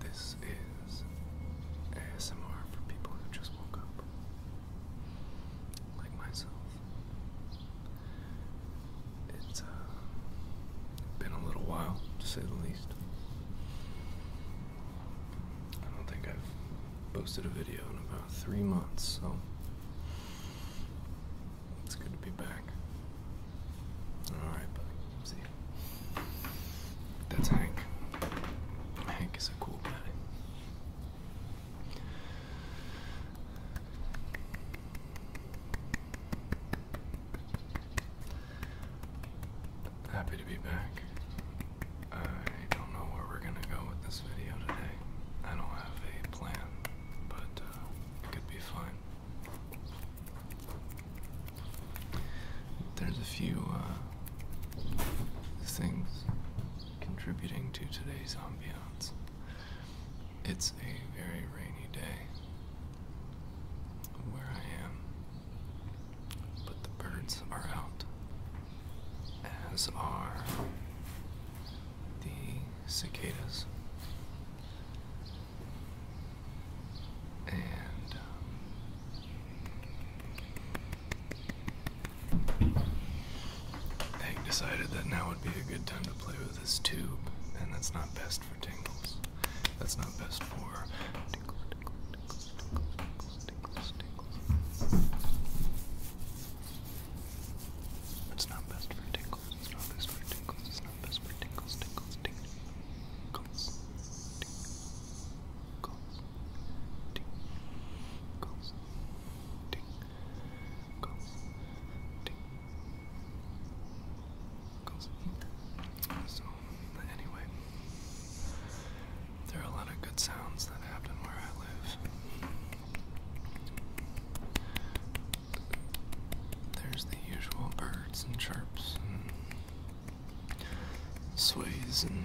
This is ASMR for people who just woke up like myself. It's uh, been a little while, to say the least. I don't think I've posted a video in about three months, so it's good to be back. Alright, buddy. See That's Hank. Hank is a cool guy. Happy to be back. I don't know where we're gonna go with this video today. I don't have a plan, but uh, it could be fun. There's a few uh, things contributing to today's ambiance. It's a very rainy day where I am, but the birds are out, as are the cicadas. And um, Hank decided that now would be a good time to play with his tube, and that's not best for tingles. That's not best for tingles, tingles, tingles, tingles, tingles. It's not best for tingles, it's not best for tingles, it's not best for tingles, tingles, tingles, tingles, tingles. So, anyway, there are a lot of good sounds that happen where I live. There's the usual birds and chirps and sways and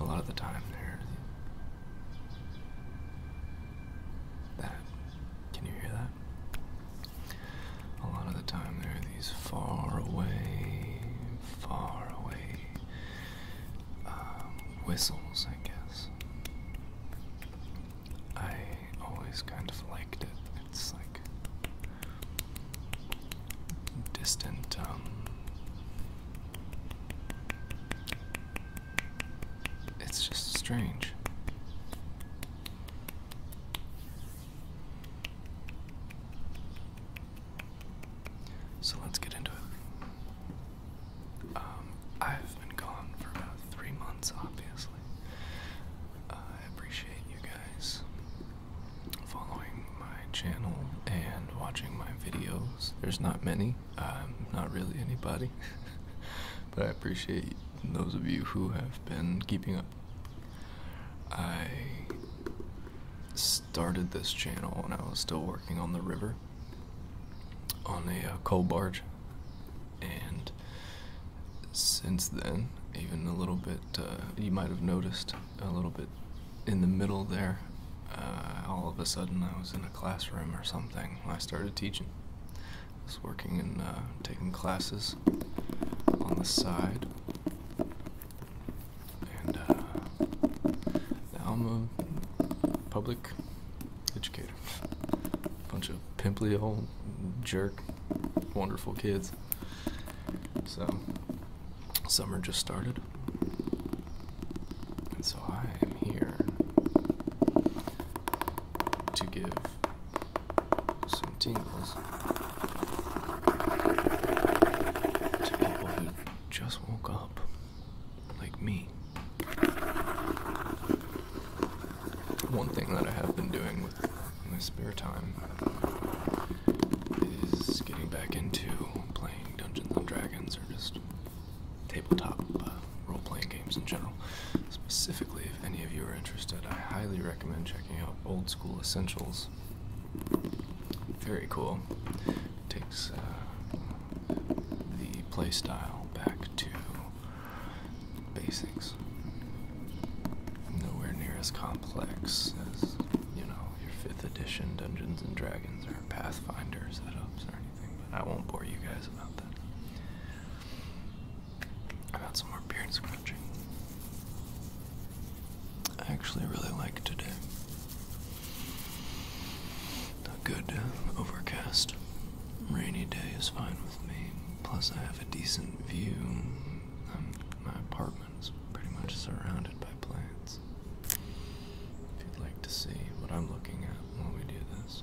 A lot of the time, there. That. Can you hear that? A lot of the time, there are these far away, far away um, whistles, I guess. I always kind of liked it. It's like distant, um, it's just strange. So let's get into it. Um, I've been gone for about three months, obviously. Uh, I appreciate you guys following my channel and watching my videos. There's not many, um, not really anybody, but I appreciate those of you who have been keeping up. I started this channel when I was still working on the river on a uh, coal barge, and since then, even a little bit, uh, you might have noticed a little bit in the middle there, uh, all of a sudden I was in a classroom or something. I started teaching. I was working and uh, taking classes on the side. And uh, now I'm a public educator. A Bunch of pimply old jerk, wonderful kids. So Summer just started, and so I am here to give some tingles to people who just woke up, like me. One thing that I have been doing with my spare time is getting back into playing Dungeons and Dragons or just tabletop uh, role playing games in general. Specifically, if any of you are interested, I highly recommend checking out Old School Essentials. Very cool. takes uh, the play style back to basics. Nowhere near as complex as, you know, your fifth edition Dungeons and Dragons or Pathfinder setups or anything, but I won't bore you guys about that. I've some more beard scratching. I actually really like today. A good overcast, rainy day is fine with me. Plus, I have a decent view. Um, my apartment apartment's pretty much surrounded by plants. If you'd like to see what I'm looking at while we do this.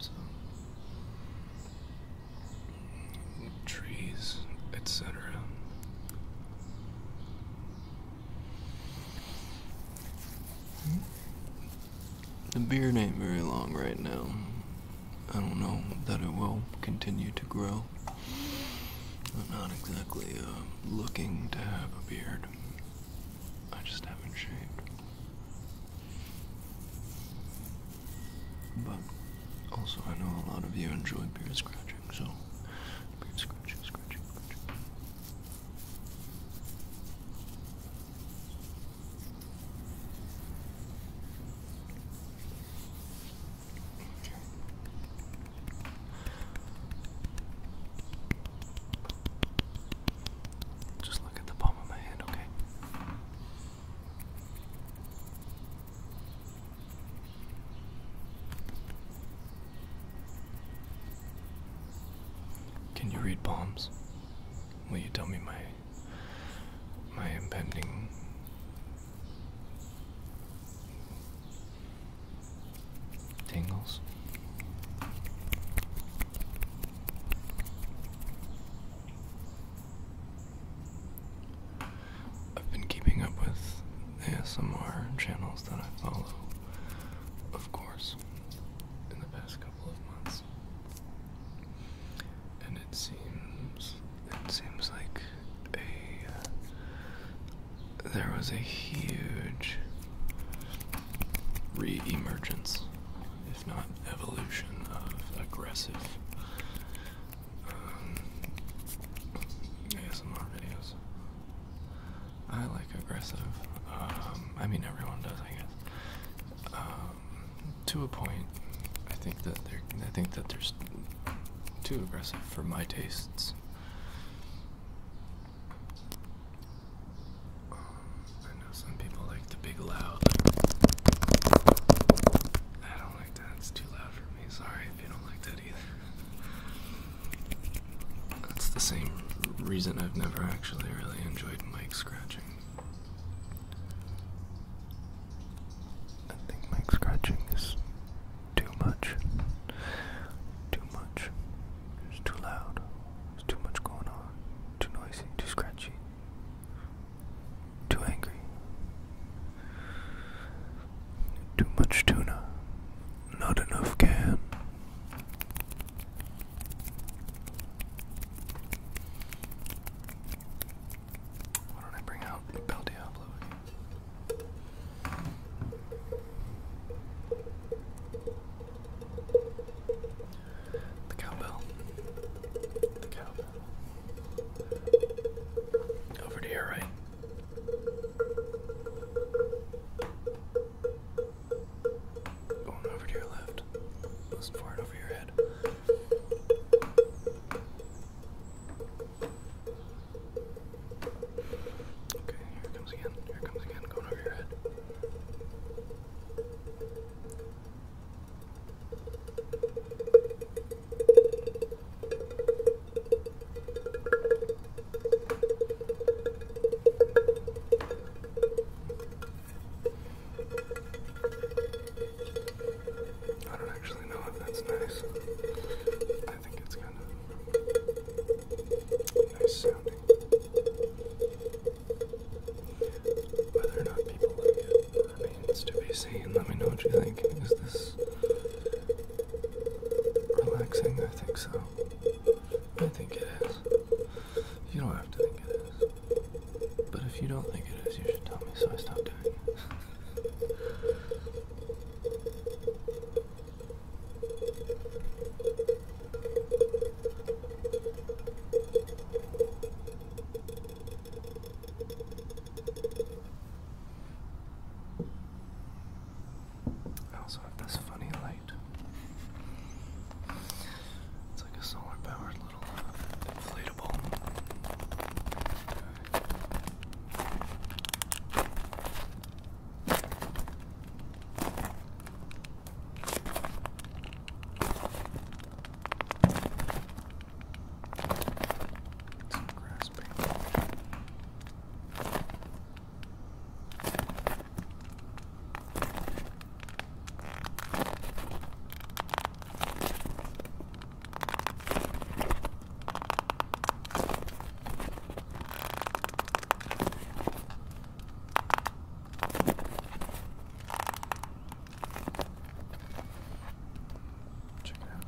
So, trees, etc. The beard ain't very long right now. I don't know that it will continue to grow. I'm not exactly uh, looking to have a beard. I just haven't shaved. But also, I know a lot of you enjoy beard scratching, so beard scratching, scratching, scratching. Just look at the palm of my hand, okay? Can you read palms? Will you tell me my my impending tingles? I've been keeping up with ASMR channels that I follow, of course, in the past and it seems it seems like uh, there was a huge re-emergence, if not evolution, of aggressive um, ASMR videos. I like aggressive. Um, I mean, everyone does, I guess. Um, to a point, I think that they're. I think that there's too aggressive for my tastes. Um, I know some people like the big loud. I don't like that. It's too loud for me. Sorry if you don't like that either. That's the same reason I've never actually really enjoyed mic scratching. I think mic scratching is too much. Too much. It's too loud. There's too much going on. Too noisy. Too scratchy. Too angry. Too much tuna. Not enough can. Why don't I bring out the Bel Diablo again? The cowbell. The cowbell. Over to right. Going over to your left. Listen for it over your head. Okay, here it comes again. Here it comes again. Going over your head. I don't actually know if that's nice. I think it's kind of nice sounding. Whether or not people like it remains to be seen. Let me know what you think. Is this relaxing? I think so. I think it is. You don't have to think it is. But if you don't think it is, you should tell me so I stop doing it. I also have this funny light. It's like a solar powered little inflatable. Some grass Check it out.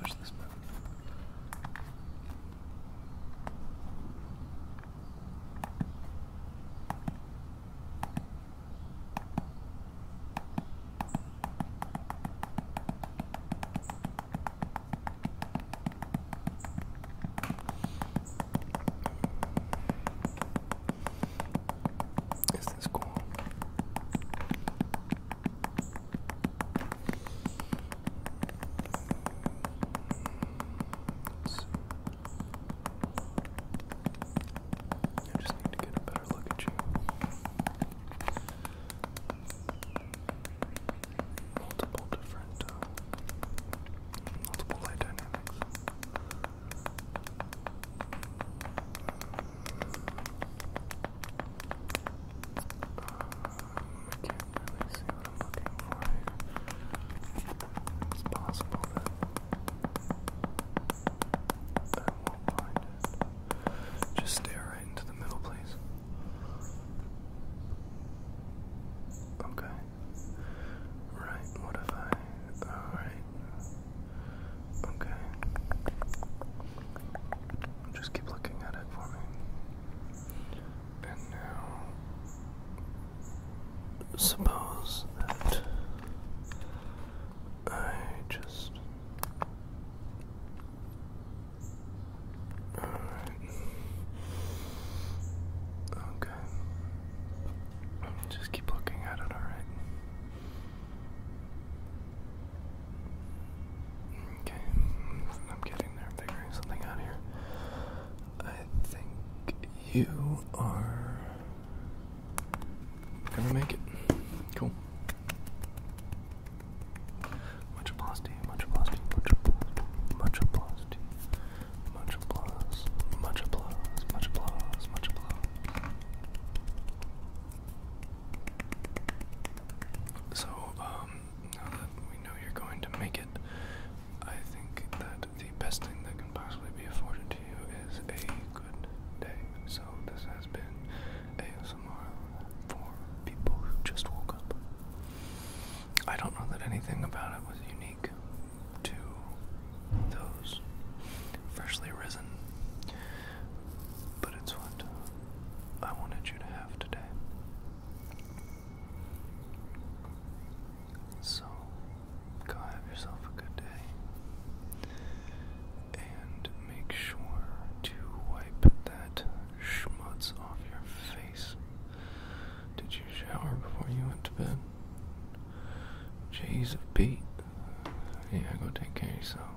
There's this button. Is this cool? I just need to get a better look at you. Multiple different, uh, multiple light dynamics. Uh, I can't really see what I'm looking for here. It's possible that I won't find it. Just stare right into the middle, please. Okay. Right, what Alright. Okay. Just keep looking at it for me. And now, suppose that I just. All right. Okay. Just keep looking at it, alright? Okay, I'm getting there. figuring something out here. I think you are gonna make it. Cool. Much applause to much applause to you, much applause, much applause to much applause, much applause, much applause, so, um, now that we know you're going to make it, I think that the best thing that can possibly be afforded to you is a good day. So, this has been ASMR for people who just woke up. I don't know that anything about it was unique to those freshly risen, but it's what I wanted you to have today. So, go have yourself a good day. And make sure to wipe that schmutz off your face. Did you shower before you went to bed? Jeez, a beat. Yeah, go take care of yourself.